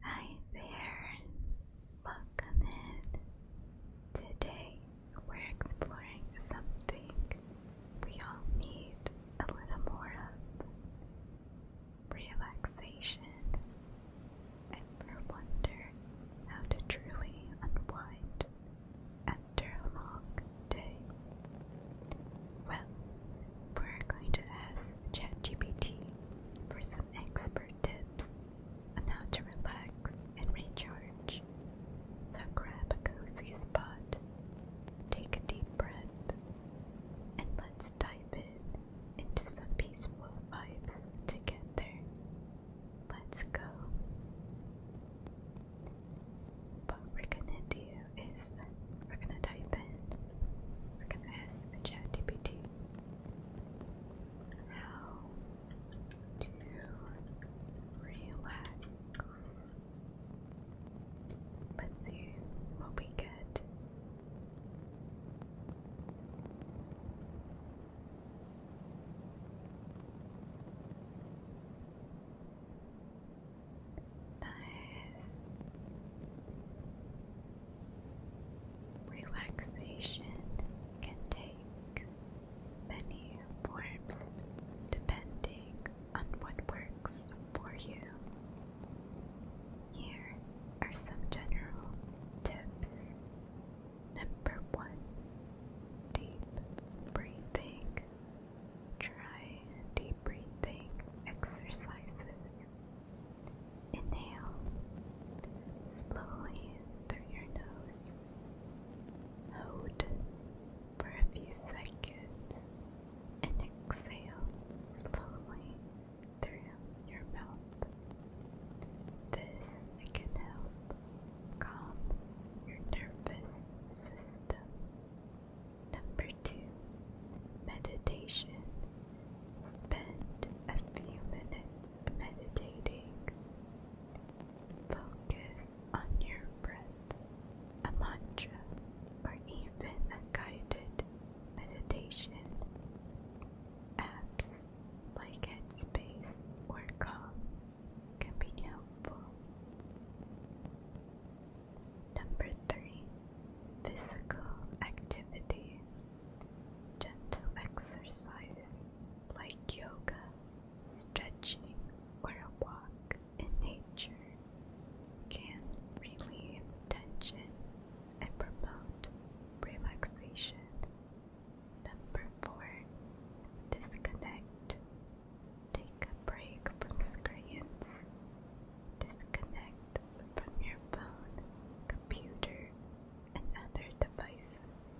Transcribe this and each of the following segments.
Hi there, welcome in. Today we're exploring something we all need a little more of relaxation, and we wonder how to truly unwind after a long day. Well, we're going to ask ChatGPT for some expert tips on how to relax and recharge. So grab a cozy spot, take a deep breath, and let's dive in into some peaceful vibes together. Let's go. What we're gonna do we're gonna type in, we're gonna ask ChatGPT how to relax. Let's see what we get. Nice. Relaxation can take many forms depending on what works for you. Here are some general tips. Number one, deep breathing. Try deep breathing exercises Inhale slowly through your nose. Hold for a few seconds and exhale slowly through your mouth. This can help calm your nervous system. Number two, meditation Spend a few minutes meditating. Focus on your breath, a mantra, or even a guided meditation. Apps like Headspace or Calm can be helpful. Number three, physical activity gentle exercise like yoga, stretching, or a walk in nature can relieve tension and promote relaxation. Number four, disconnect. Take a break from screens, Disconnect from your phone, computer, and other devices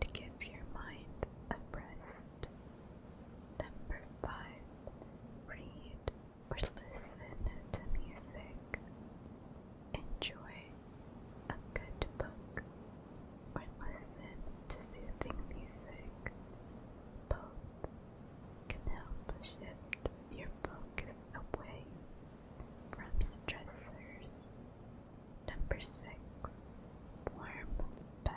to give your mind a rest. Number five, read or listen to music. Enjoy a good book or listen to soothing music. Both can help shift your focus away from stressors. Number six, warm bath.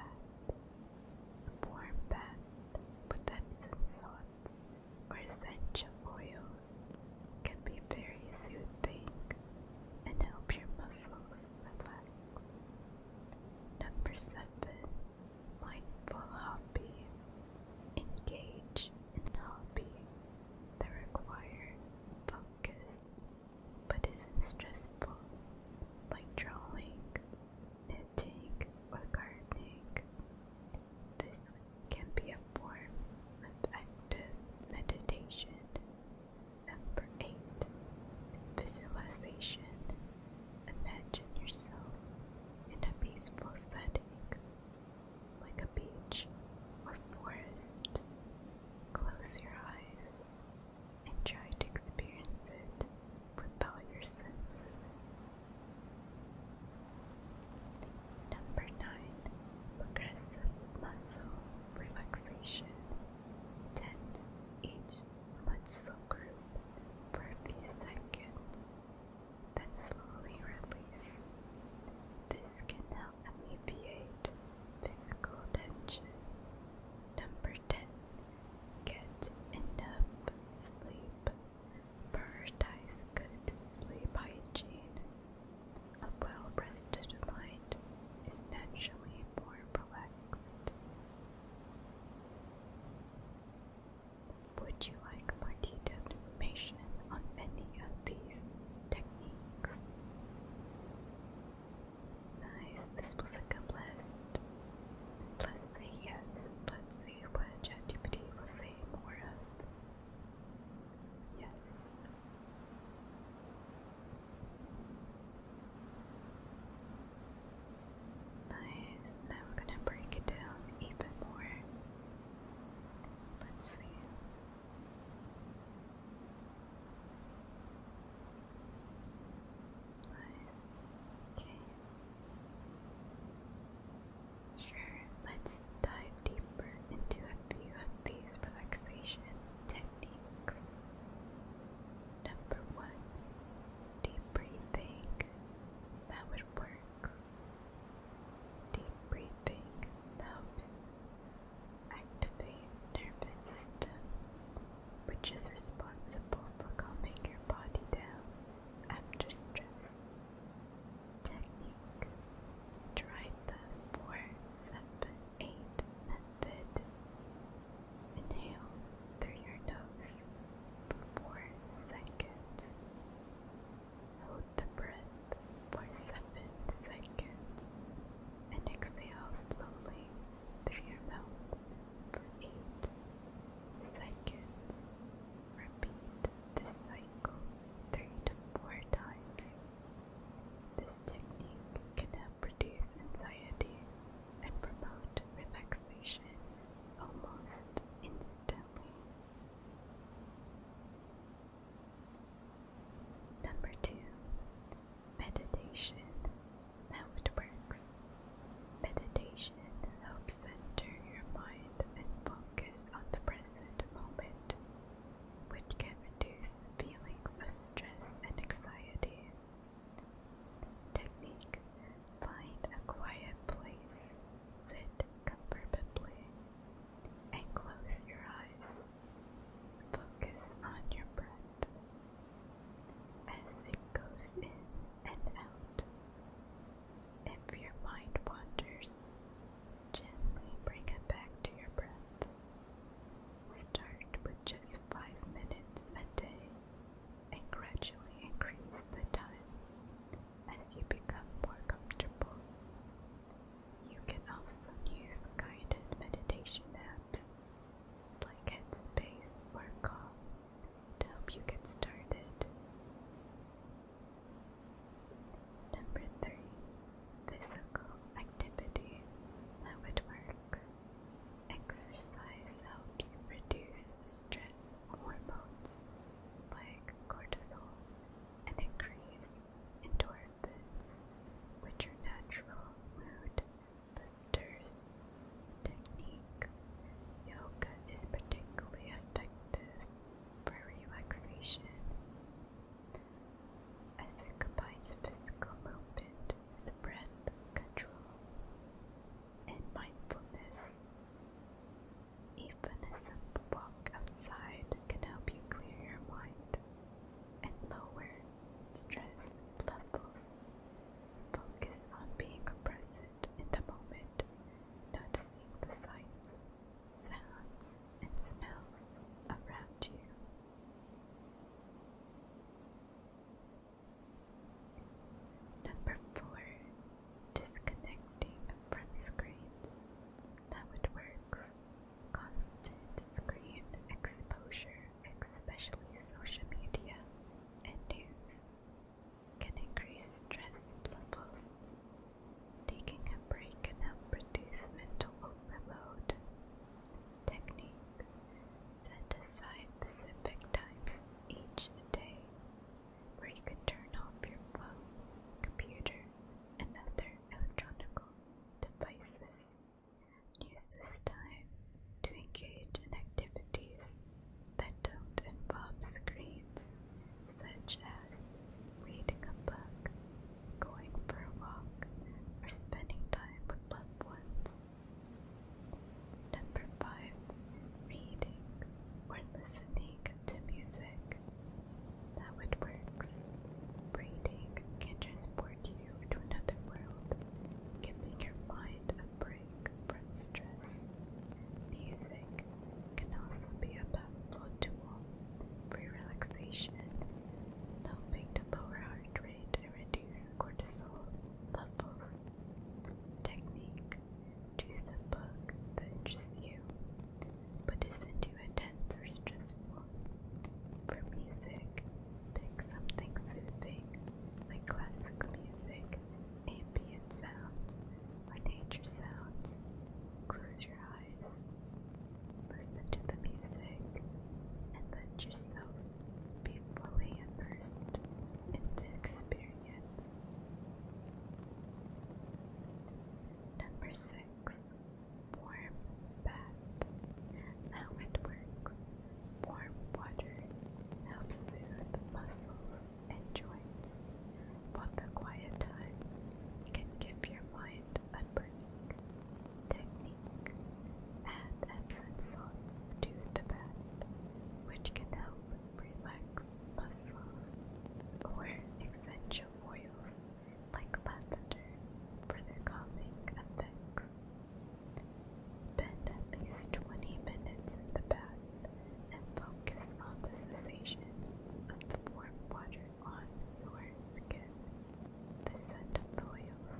warm bath with Epsom salts or essential oils can be very soothing and help your muscles relax. Number seven, mindful hobby. Engage now be the required focus, but isn't stressful like drawing, knitting, or gardening. This can be a form of active meditation. Number 8 Visualization Imagine yourself in a peaceful setting like a beach or forest. Close your eyes and try to experience it with all your senses. Number 9. Progressive muscle relaxation. Tense each muscle group for a few seconds then slowly release. This can help alleviate physical tension. Number 10. Get enough sleep. Prioritize good sleep hygiene. A well rested mind is naturally more relaxed. Would you like more detailed information on any of these techniques? Nice, this was a good list. Let's say yes. Let's see what ChatGPT will say more of. Yes. Nice. Now we're gonna break it down even more. Let's see. Okay. Sure, let's dive deeper into a few of these relaxation techniques. Number one, deep breathing. That would work Deep breathing helps activate nervous system, which is responsible for calming your body down after stress. Technique. Try the 478 method. Inhale through your nose for seconds. Hold the breath for 7 seconds and exhale slowly through your mouth for 8 seconds. Repeat this cycle 3 to 4 times. This technique can help reduce anxiety and promote relaxation almost instantly. Number two, meditation. How it works. Meditation helps center your mind and focus on the present moment, which can reduce feelings of stress and anxiety. Technique Find a quiet place, sit comfortably, and close your eyes. Focus on your breath as it goes in and out. If your mind wanders, gently bring it back to your breath. Start with just five minutes a day and gradually increase the time as you become more comfortable. You can also use guided meditation apps like Headspace or Calm to help you get started. Number three, physical activity. How works. Exercise helps reduce stress hormones like cortisol and increase in endorphins, which are natural mood lifters. Technique yoga is particularly effective for relaxation as it combines physical movement with breath control and mindfulness. Even a simple walk outside can help you clear your mind and lower stress levels. Focus on being present in the moment, noticing the sights, sounds, and smells around you. Number four disconnecting from screens that would work. Constant screen exposure, especially social media and news, can increase stress levels. Taking a break can help reduce mental overload. Technique Set aside specific times each day where you could turn off your phone, computer, and other electronic devices. Use this time to engage in activities that don't involve screens, such as reading a book, going for a walk, or spending time with loved ones. Number 5. Reading or listening to music that works. braiding can transport you to another world, can giving your mind a break from stress. Music can also be a powerful tool for relaxation, helping to lower heart rate and reduce cortisol levels. Technique Choose a book that interests you, but isn't too intense or stressful. For music, pick something soothing like classical music, ambient sounds, or nature sounds. Close your eyes, listen to the music, and let yourself be fully immersed in the experience. Number six, warm bath. How it works. Warm water helps soothe muscles and joints, but the quiet time can give your mind a break. Technique. Add Epsom salts to the bath, which can help relax muscles or essential oils like lavender for their calming effects. Spend at least 20 minutes in the bath and focus on the sensation of the warm water on your skin, the scent of the oils,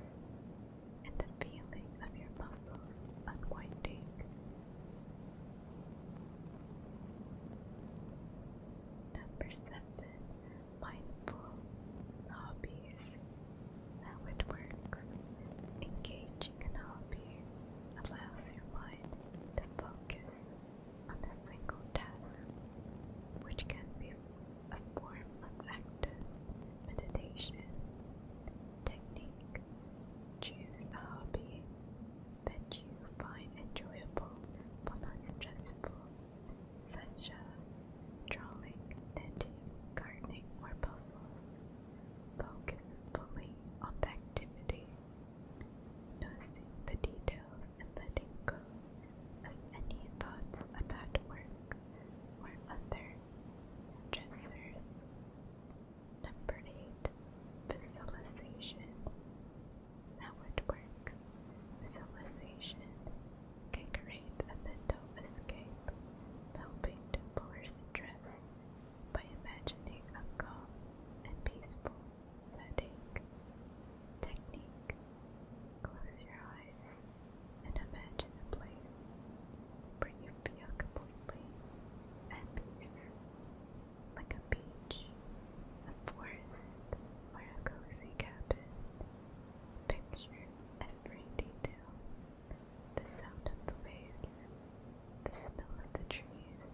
and the feeling of your muscles unwinding. Number seven, mindful hobbies. How it works. Engaging a hobby allows your mind to focus on a single task, which can be a form of active meditation technique. Choose a hobby that you find enjoyable but not stressful, such as drawing, knitting, gardening, or puzzles. Focus fully on that activity, noticing the details and letting go of any thoughts about work or other stressors. Number 8. Visualization. That would work. Visualization can create a mental escape, helping to lower stress by imagining a calm and peaceful setting. Technique Close your eyes and imagine a place where you feel completely at peace like a beach, a forest, or a cozy cabin. Picture every detail the sound of the waves, the smell of the trees,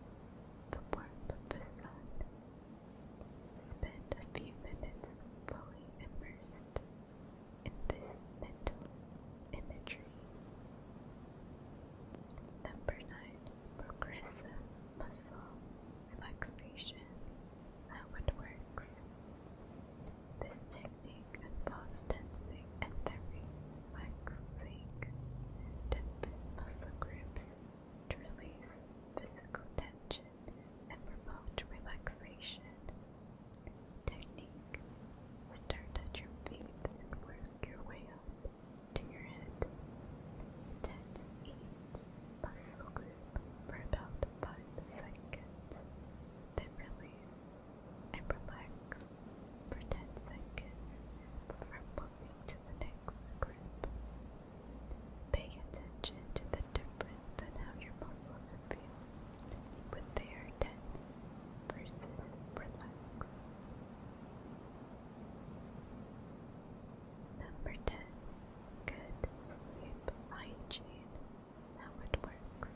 the warmth of the sun. Spend a few minutes fully immersed in this mental imagery. Number 9 progressive muscle relaxation that would works. This technique involves tensing and then relaxing different muscle groups to release physical tension and promote relaxation. Technique Start at your feet and work your way to your head. Tense each muscle group for about 5 seconds, then release and relax for 10 seconds before moving to the next group. Pay attention to the difference in how your muscles feel when they are tense versus relaxed. Number 10. Good sleep hygiene. Now it works.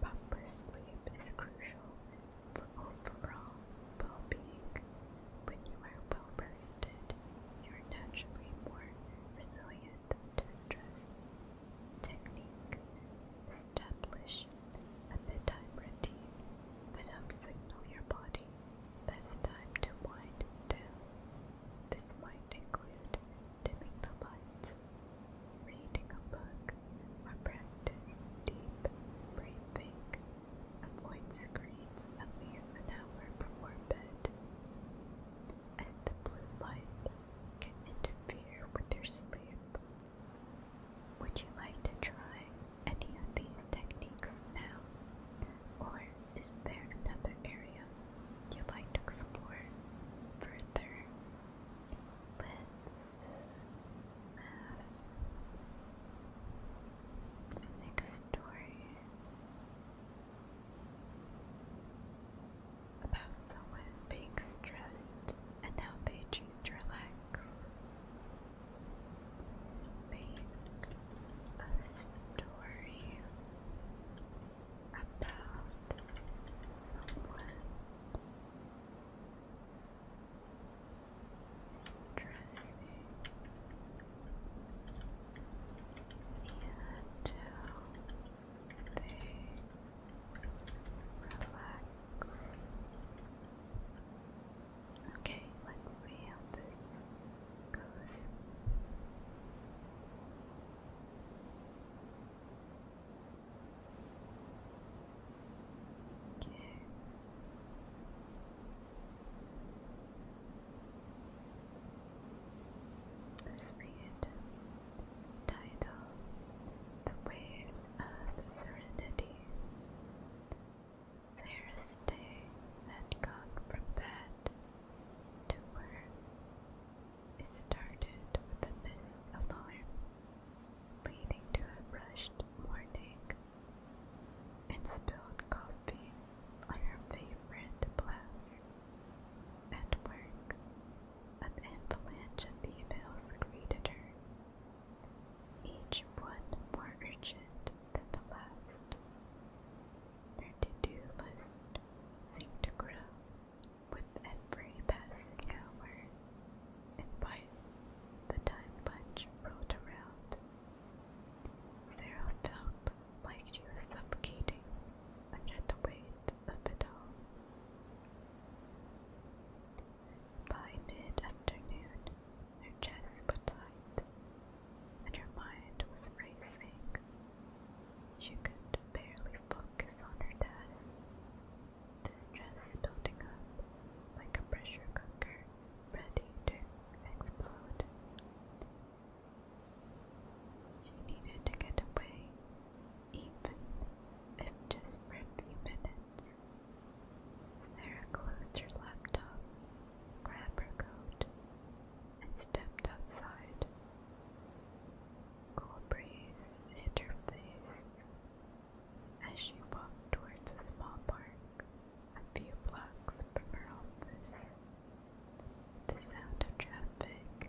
Proper sleep is crucial for overall well being. When you are well rested, you are naturally more resilient to stress. Technique Establish a bedtime routine that helps signal your body there's time to wind down. This might include dimming the lights, reading a book, or practice deep breathing. Avoid screens at least an hour before bed, as the blue light can interfere with your sleep. Would you like to try any of these techniques now? Or is there another area you'd like to explore further? Let's uh, make a story about someone being stressed and how they choose to relax paint a story about someone stressing until they relax. Okay, let's see how this goes. Okay. Let's read title The Waves of Serenity day had gone from bad to worse. It started with a missed alarm, leading to a rushed morning, and spilled coffee on her favorite blouse. At work, an avalanche of emails greeted her, each one more urgent than the last. Her to-do list seemed to grow with every passing hour, and by the time lunch rolled around, Sarah felt like she was suffocating under the weight of it all. By mid-afternoon, her chest was tight and her mind was racing. She could barely focus on her tasks. The stress building up like a pressure cooker ready to explode. She needed to get away, even if just for a few minutes. Sarah closed her laptop, grabbed her coat, and stepped outside. Cool breeze hit her face as she walked towards a small park a few blocks from her office. The sound of traffic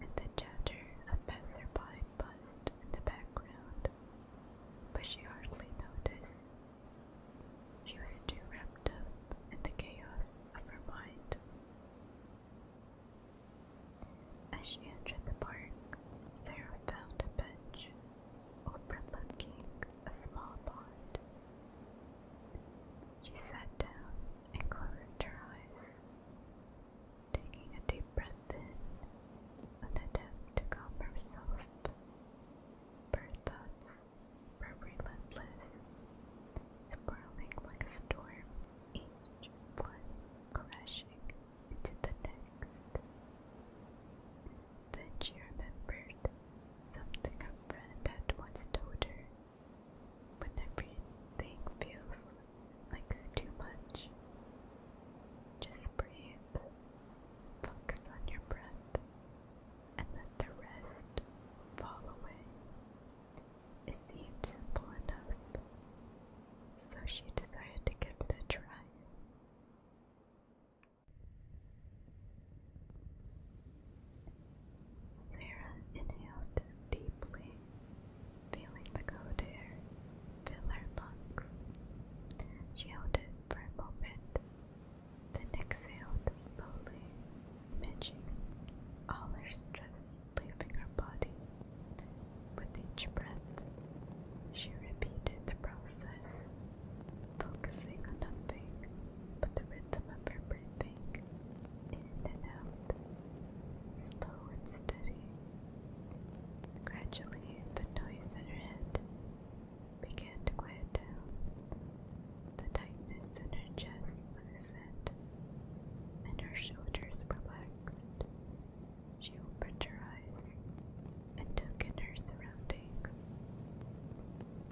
and the chatter of passerby buzzed in the background, but she hardly noticed she was too wrapped up in the chaos of her mind. As she entered the park, Sarah found a bench overlooking a small pond. She sat down and closed her eyes, taking a deep breath in, an attempt to calm herself. Bird thoughts were relentless, swirling like a storm, each one crashing into the next. Then she remembered something her friend had once told her. When everything feels like too much, just breathe, focus on your breath, and let the rest fall away. It seemed simple enough, so she decided to give it a try. Sarah inhaled deeply, feeling the cold air fill her lungs. She held it for a moment then exhale slowly, imaging all her stress leaving her body. With each breath, she repeated the process, focusing on nothing but the rhythm of her breathing, in and out, slow and steady. Gradually, the noise in her head began to quiet down. The tightness in her chest loosened, and her shoulders relaxed. She opened her eyes and took in her surroundings.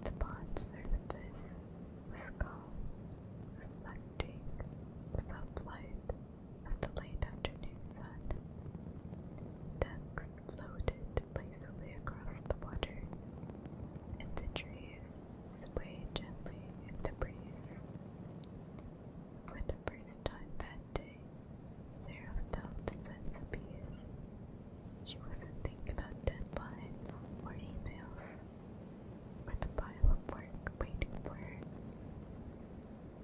The pond surface was calm, reflecting the soft light of the late afternoon sun. Ducks floated lazily across the water, and the trees swayed gently in the breeze. For the first time that day, Sarah felt a She wasn't thinking about deadlines or emails or the pile of work waiting for her.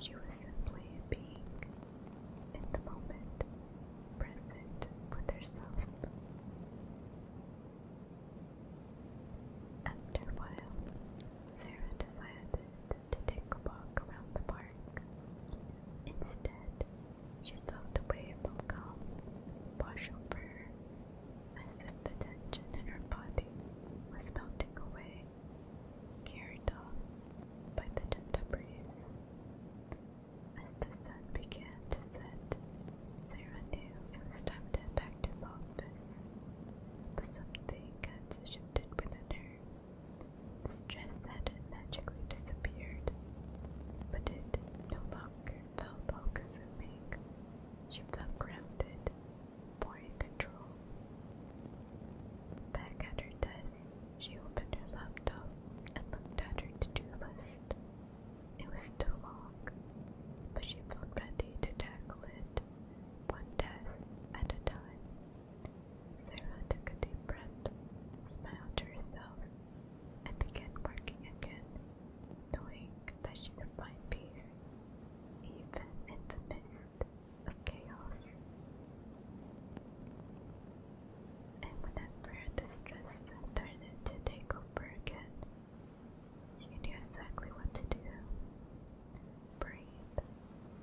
She was simply being in the moment present with herself. After a while, Sarah decided to take a walk around the park. Instead, she felt a wave of calm wash over her as if the tension in her body was melting away, carried off by the gentle breeze. As the sun began to set, Sarah knew it was time to head back to the office. But something had shifted within her. The stress had magically disappeared, but it no longer felt all consuming. She felt grounded, more in control. Back at her desk, she opened her laptop and looked at her to-do list. It was still long, but she felt ready to tackle it, one task at a time. Sarah took a deep breath, smiled to herself, and began working again, knowing that she could find peace, even in the midst of chaos and when whenever distressed turned it to take over again. you know exactly what to do. Breathe,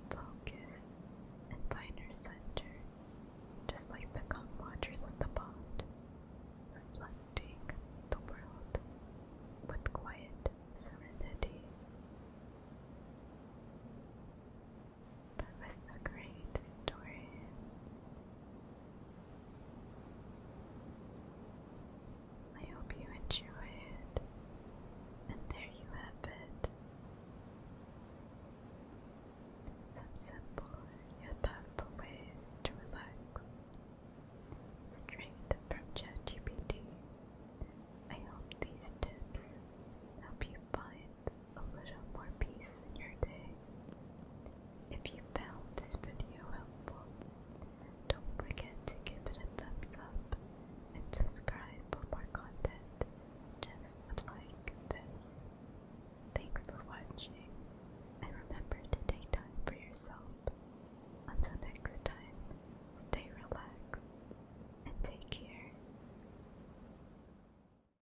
focus, and find your center, just like the calm waters of the pond, reflecting the world with quiet serenity that was the great story. I hope you enjoy it, and there you have it. Some simple yet powerful ways to relax. Straight from ChatGPT. I hope these tips help you find a little more peace in your day. If you found this video helpful, don't forget to give it a thumbs up and subscribe for more content just like this. Thanks for watching and remember to take time for yourself. Until next time, stay relaxed and take care.